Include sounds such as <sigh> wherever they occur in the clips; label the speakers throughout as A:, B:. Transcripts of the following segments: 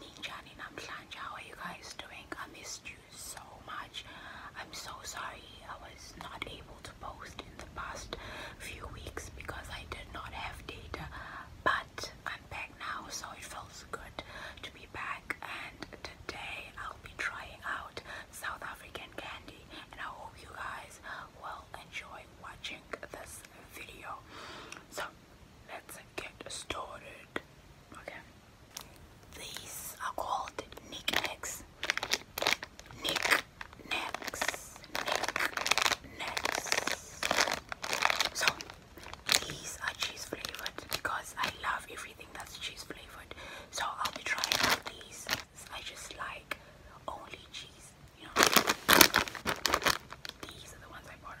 A: Ninjani Namslanja, how are you guys doing? I missed you so much. I'm so sorry I was not able to post in the past few weeks because I did not have data, but I'm back now, so it feels good to be back. And today I'll be trying out South African candy, and I hope you guys will enjoy watching this video. So let's get started. Okay. These are called knickknacks. Knickknacks. Knickknacks. So these are cheese flavored because I love everything that's cheese flavored. So I'll be trying out these. I just like only cheese you know, these are the ones I bought.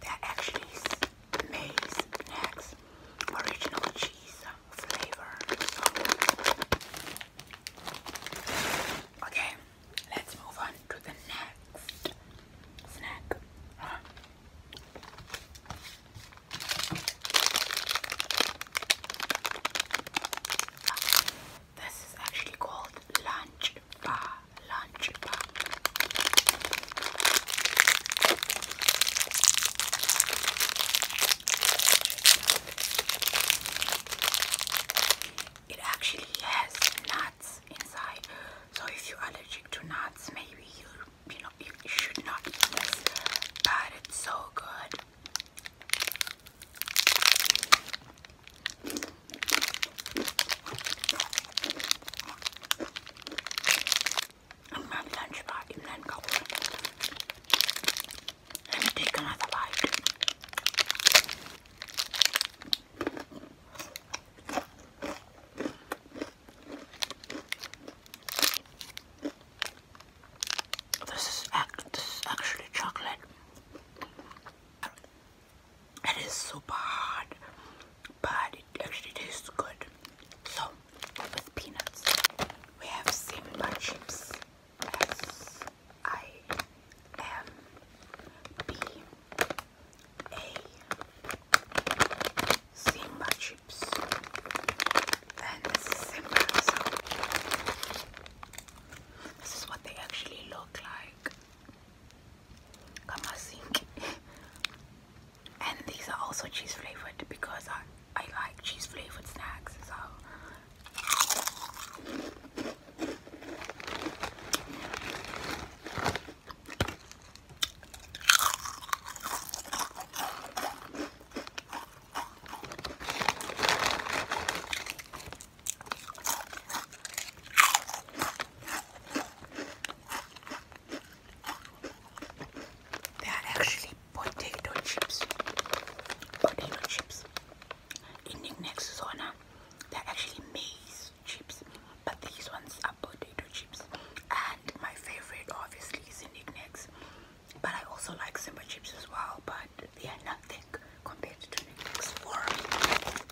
A: That are actually May's snacks, original cheese flavor. okay, let's move on to the next snack. This is actually called lunch bar, lunch bar. It actually has nuts inside, so if you're allergic to nuts, maybe you you know you should not eat this. But it's so good. My lunch bite and then go. Let me take another bite. This is, this is actually chocolate. It is super hard, but it actually tastes good. So, with peanuts, we have simba chips. S I M B A Simba chips. And this is Simba. So, this is what they actually look like. Got <laughs> and these are also cheese flavored because I, I like cheese flavored snacks. So they are actually potato chips. Potato chips. In the next they're actually maize chips, but these ones are potato chips. And my favorite, obviously, is Indignix. But I also like Simba chips as well, but they are nothing compared to Indignix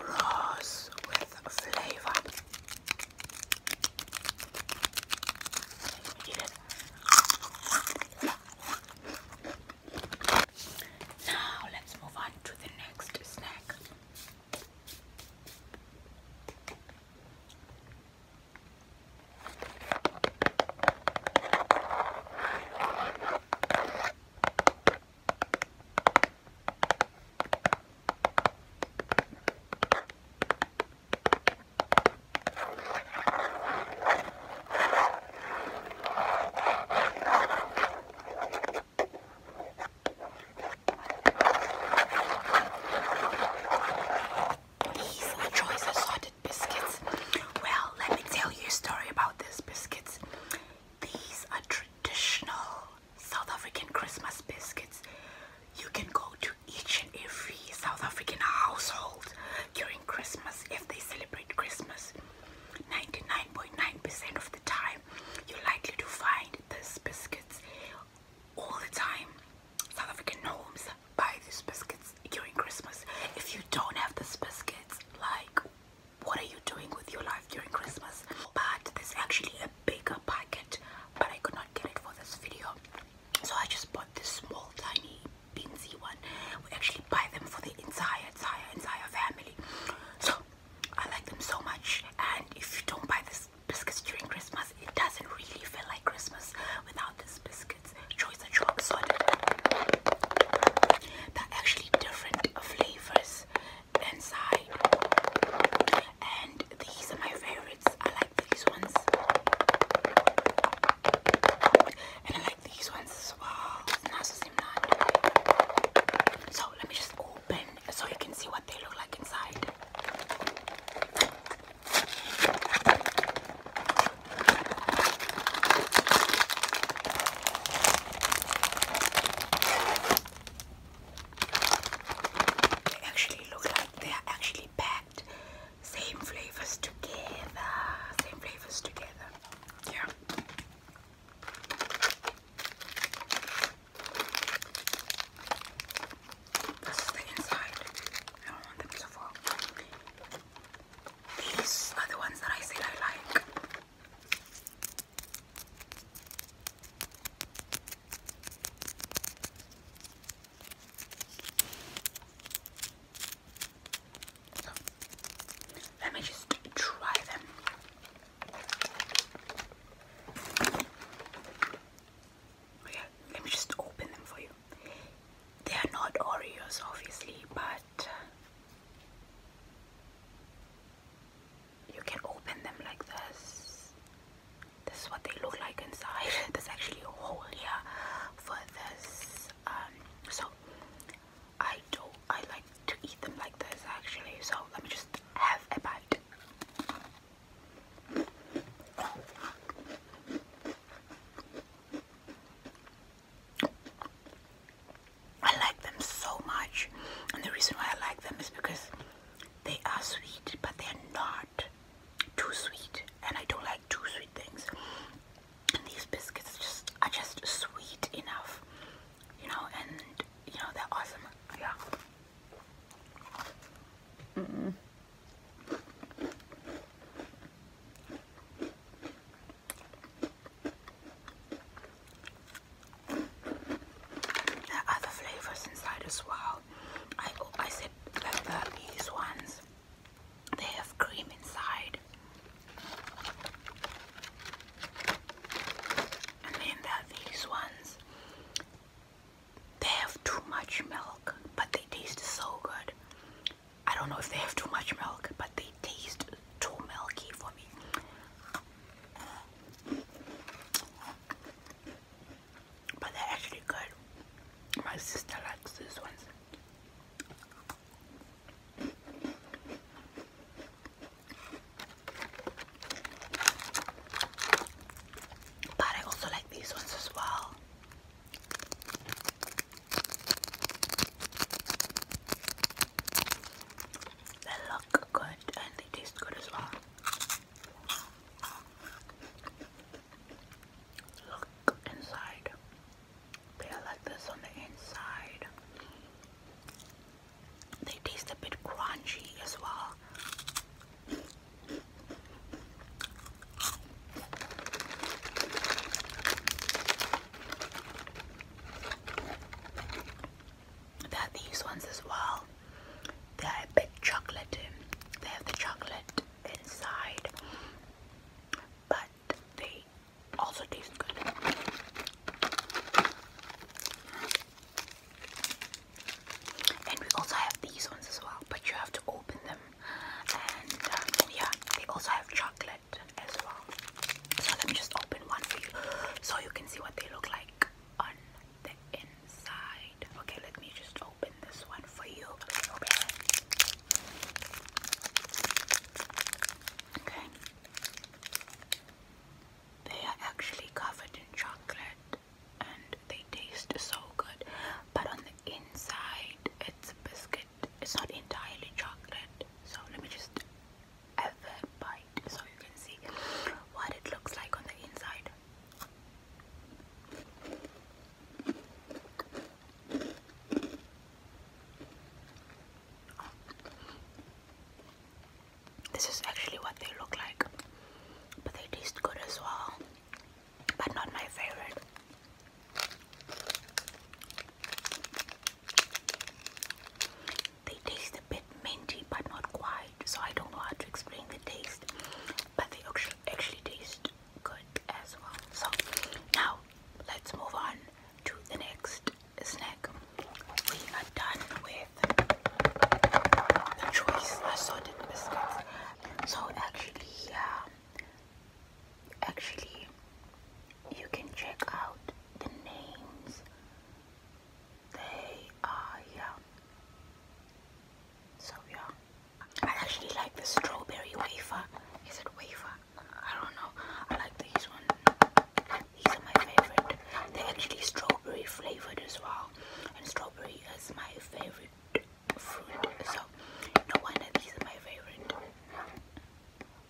A: Rose with flavor. Now let's move on to the next snack. These little choices are so biscuits. Well, let me tell you a story about these biscuits. These are traditional South African Christmas biscuits. You can go to each and every South African household during Christmas if they celebrate Christmas. 99.9% percent of the time, you're likely to find these biscuits all the time. South African homes buy these biscuits during Christmas. If you don't have these biscuits, like what are you doing with your life during Christmas? But there's actually a bigger packet, but I could not get it for this video. So I just bought this small tiny beansy one. We actually buy them for the entire entire entire family. So I like them so much and if you don't buy this biscuits during Christmas, it doesn't really feel like Christmas without this biscuit. Biscuits actually different flavors inside. And these are my favorites. I like these ones. And I like these ones as well. So let me just open so you can see what they look like inside. They actually look like they are actually packed. Same flavors together. Same flavors together. Yeah. This is the inside. I don't want them to fall. These are the ones that I said I like. let me just try them. Okay, let me just open them for you. They are not Oreos, obviously, but you can open them like this. This is what they look like inside. <laughs> There's actually a hole here for this. Um, so I do. I like to eat them like this actually. So let me just have a bite. I like them so much, and the reason why I like them is because they are sweet, but they're not too sweet, and I don't like too sweet things. And these biscuits just are just sweet enough, you know, and you know they're awesome. Yeah. Mm -mm. There are other flavors inside as well. I I said like these ones. They have cream inside. And then there these ones. They have too much milk, but they taste so good. I don't know if they have too much milk, but they taste too milky for me. But they're actually good. My sister likes these ones. But I also like these ones as well. They look good and they taste good as well. Look inside. They are like this on the inside. They taste a bit crunchy as well. There these ones as well. They're a bit chocolate. They have the chocolate inside, but they also taste good. And we also have these ones as well, but you have to open them. And um, yeah, they also have chocolate so let me just open one for you so you can see what they look like on the inside. Okay, let me just open this one for you. Okay. They are actually covered in chocolate and they taste so good. But on the inside, it's biscuit it's not entirely chocolate. So let me just have a bite so you can see what it looks like on the inside. This is actually what they look like, but they taste good as well, but not my favorite. They taste a bit minty but not quite, so I don't know how to explain the taste, but they actually, actually taste good as well. So now let's move on to the next snack. We are done with the choice I assorted biscuits. So actually, yeah, actually you can check out the names they are yeah so yeah I actually like the strawberry wafer is it wafer I don't know I like these one these are my favorite they're actually strawberry flavored as well and strawberry is my favorite fruit so no wonder these are my favorite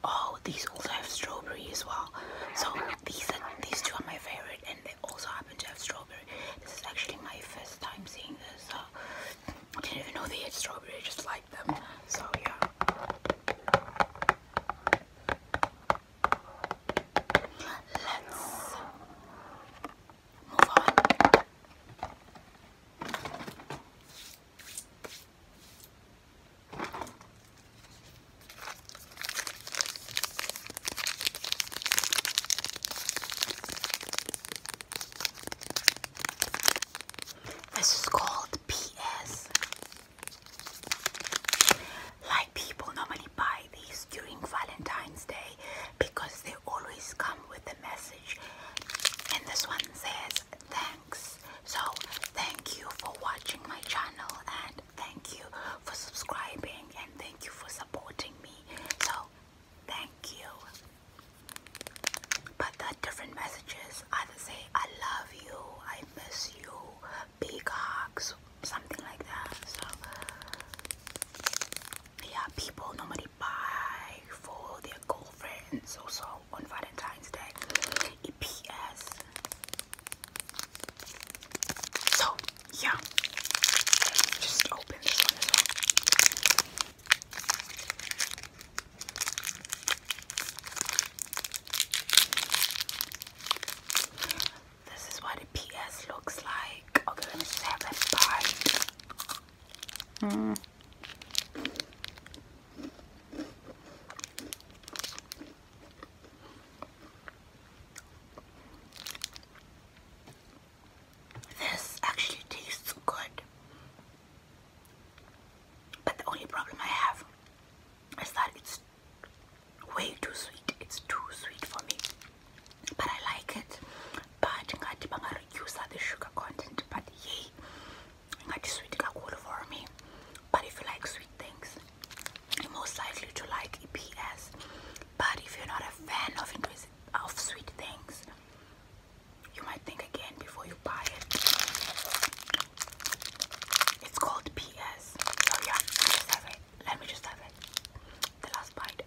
A: Oh, these also have strawberry as well. So these these two are my favorite, and they also happen to have strawberry. This is actually my first time seeing this. I didn't even know they had strawberry. I just like them. So yeah. Let's move on. This is called PS. Like people normally buy these during Valentine's Day because they always come with a message. And this one says thanks. So, thank you for watching my channel and thank you for subscribing and thank you for supporting me. So, thank you. But the different messages either say, I love you, I miss you, big hugs, something like that. So, yeah, people normally buy for their girlfriends also on Valentine's Day. So, yeah. just open this is what a PS looks like. Okay, let me just Hmm. This actually tastes good, but the only problem I have is that it's way too sweet. It's too sweet for me, but I like it. But I reduce the sugar content, but yay, not sweet kakulu for me but if you like sweet things you're most likely to like EPS but if you're not a fan of, of sweet things you might think again before you buy it it's called PS so yeah let me just have it the last bite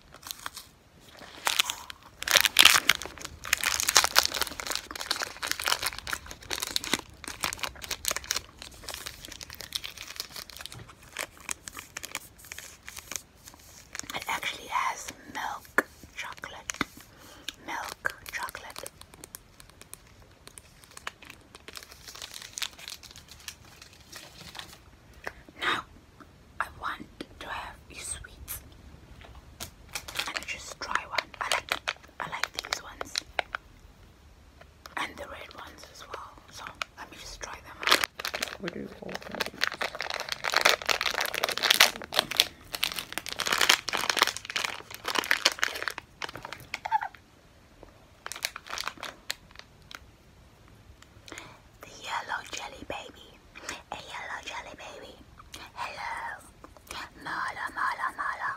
A: it actually has milk chocolate, milk chocolate. Now I want to have a sweet and just try one. I like I like these ones and the red ones as well. So let me just try them out. do you call them? The yellow jelly baby, a yellow jelly baby. Hello, Mala, mala, mala.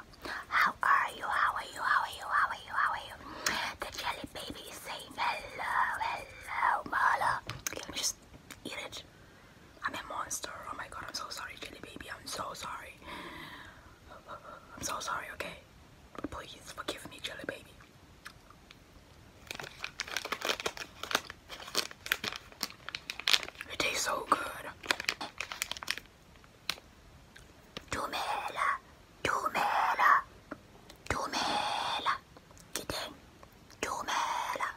A: How are you? How are you? How are you? How are you? How are you? The jelly baby is saying hello, hello, mala. Okay, let me just eat it. I'm a monster. Oh my god, I'm so sorry, jelly baby. I'm so sorry. I'm so sorry, okay? Please forgive me, jelly baby. It tastes so good. Dumela, dumela, dumela, dumela.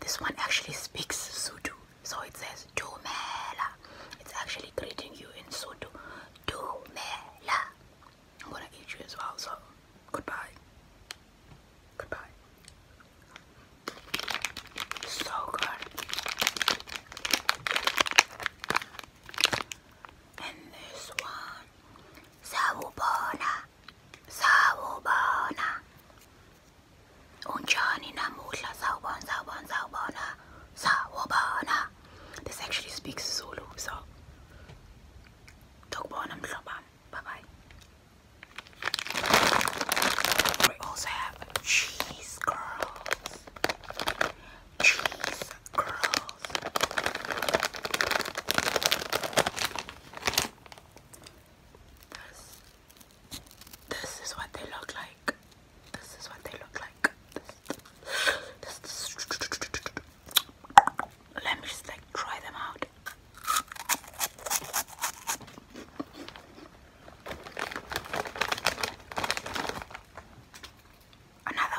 A: This one actually speaks Sutu, so it says dumela. It's actually greeting you in Sutu. Dumela. I'm gonna eat you as well, so goodbye. Goodbye. So good. And this one, Saubona, Saubona. Unjani namudla, Saubona, Saubona, Saubona, Saubona. This actually speaks Zulu, so. Dokbona mhlobam. Bye bye. We also have cheese curls. Cheese curls. This, this is what they look like. This is what they look like. Let me just like try them out. Another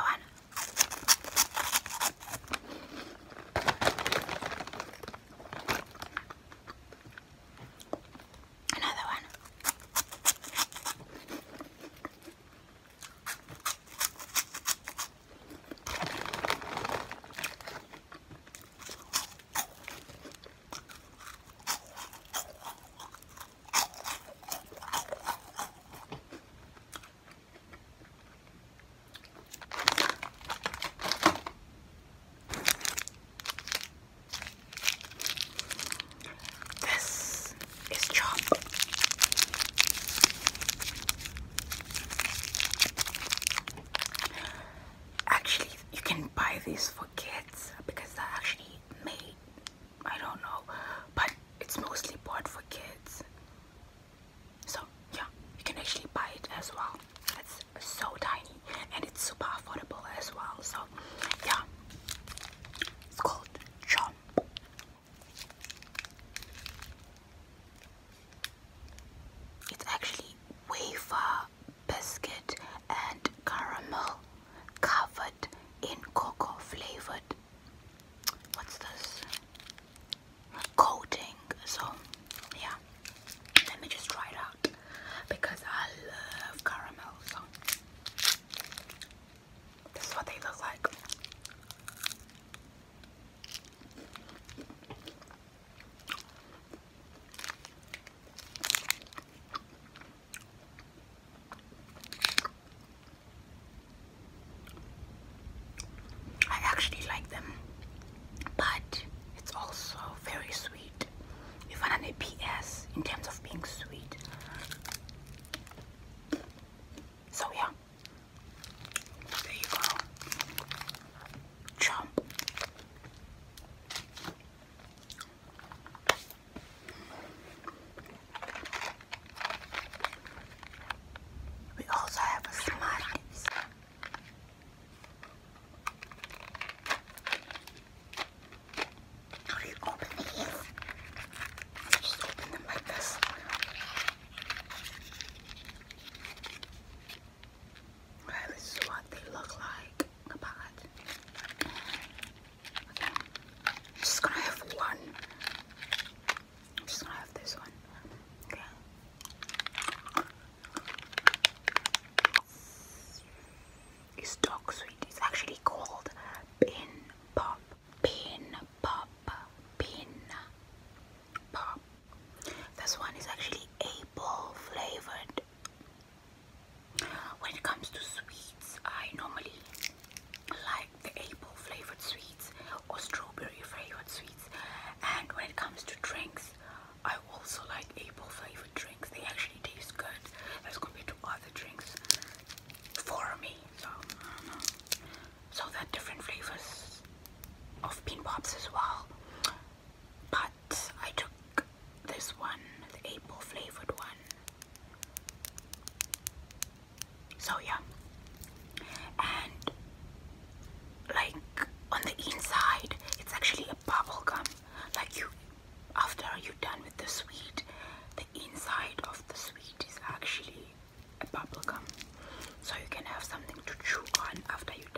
A: one. Another one. This is chop actually you can buy these for kids because they're actually made I don't know but it's mostly bought for kids so yeah you can actually buy it as well it's so tiny and it's super affordable as well so yeah it's called chomp it's actually wafer biscuit and caramel covered in cocoa flavored. What's this? Coating. So, yeah. Let me just try it out because I love caramel. So, this is what they look like. I actually like them, but it's also very sweet. If I'm an A.P.S. in terms of being sweet. So yeah, there you go chomp. We also have a Smarties. How do you open these? just open them like this. Right, this is what they look like. Okay. just gonna have one. I'm just gonna have this one. Okay. It's dog sweet. It's actually called pin pop. Pin pop. Pin pop. This one is actually apple flavored. When it comes to sweets, I normally like the apple flavored sweets or strawberry flavored sweets. And when it comes to drinks, I also like apple flavored drinks. They actually taste good as going to be two other drinks for me. So, um, so there are different flavors of bean pops as well but I took this one, the apple flavored one. So yeah, and like on the inside, it's actually a bubble gum. Like you, after you're done with the sweet, the inside of the sweet is actually a bubble gum. So you can have something to chew on after you're done.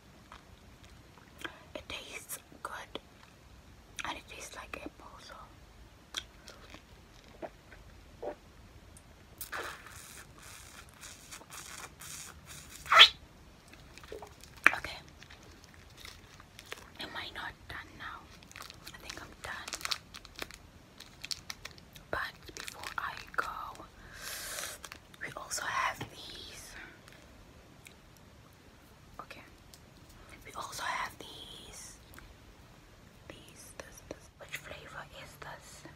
A: It tastes good and it tastes like apple so Okay. Am I not done now? I think I'm done. But before I go, we also have these Okay. We also have these. These, this, this. Which flavor is this?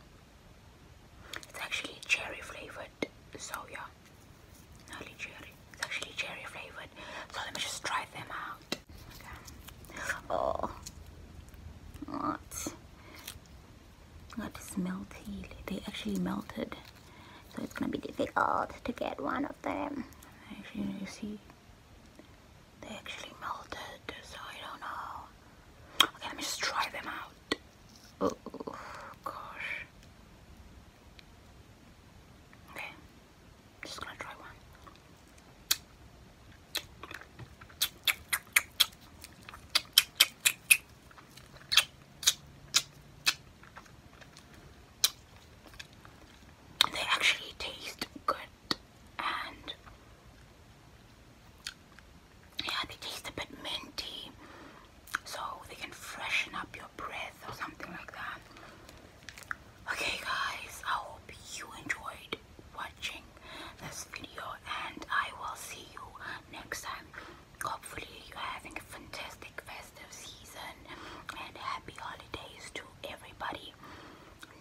A: It's actually cherry flavored. So yeah. Early cherry. It's actually cherry flavored. So let me just try them out. Okay. Oh. What? That is melty. They actually melted so it's gonna be difficult to get one of them actually you see they actually melted so I don't know okay let me just try them out oh gosh okay just gonna try one they actually taste good and yeah, they taste a bit minty so they can freshen up your breath or something like that. Okay guys, I hope you enjoyed watching this video and I will see you next time hopefully you're having a fantastic festive season and happy holidays to everybody.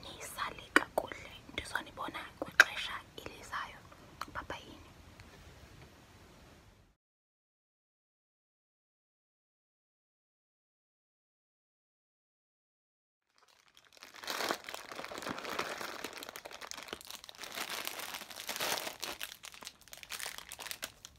A: Nisale kakule, ndizonibona kwixesha elizayo. Bye-bye.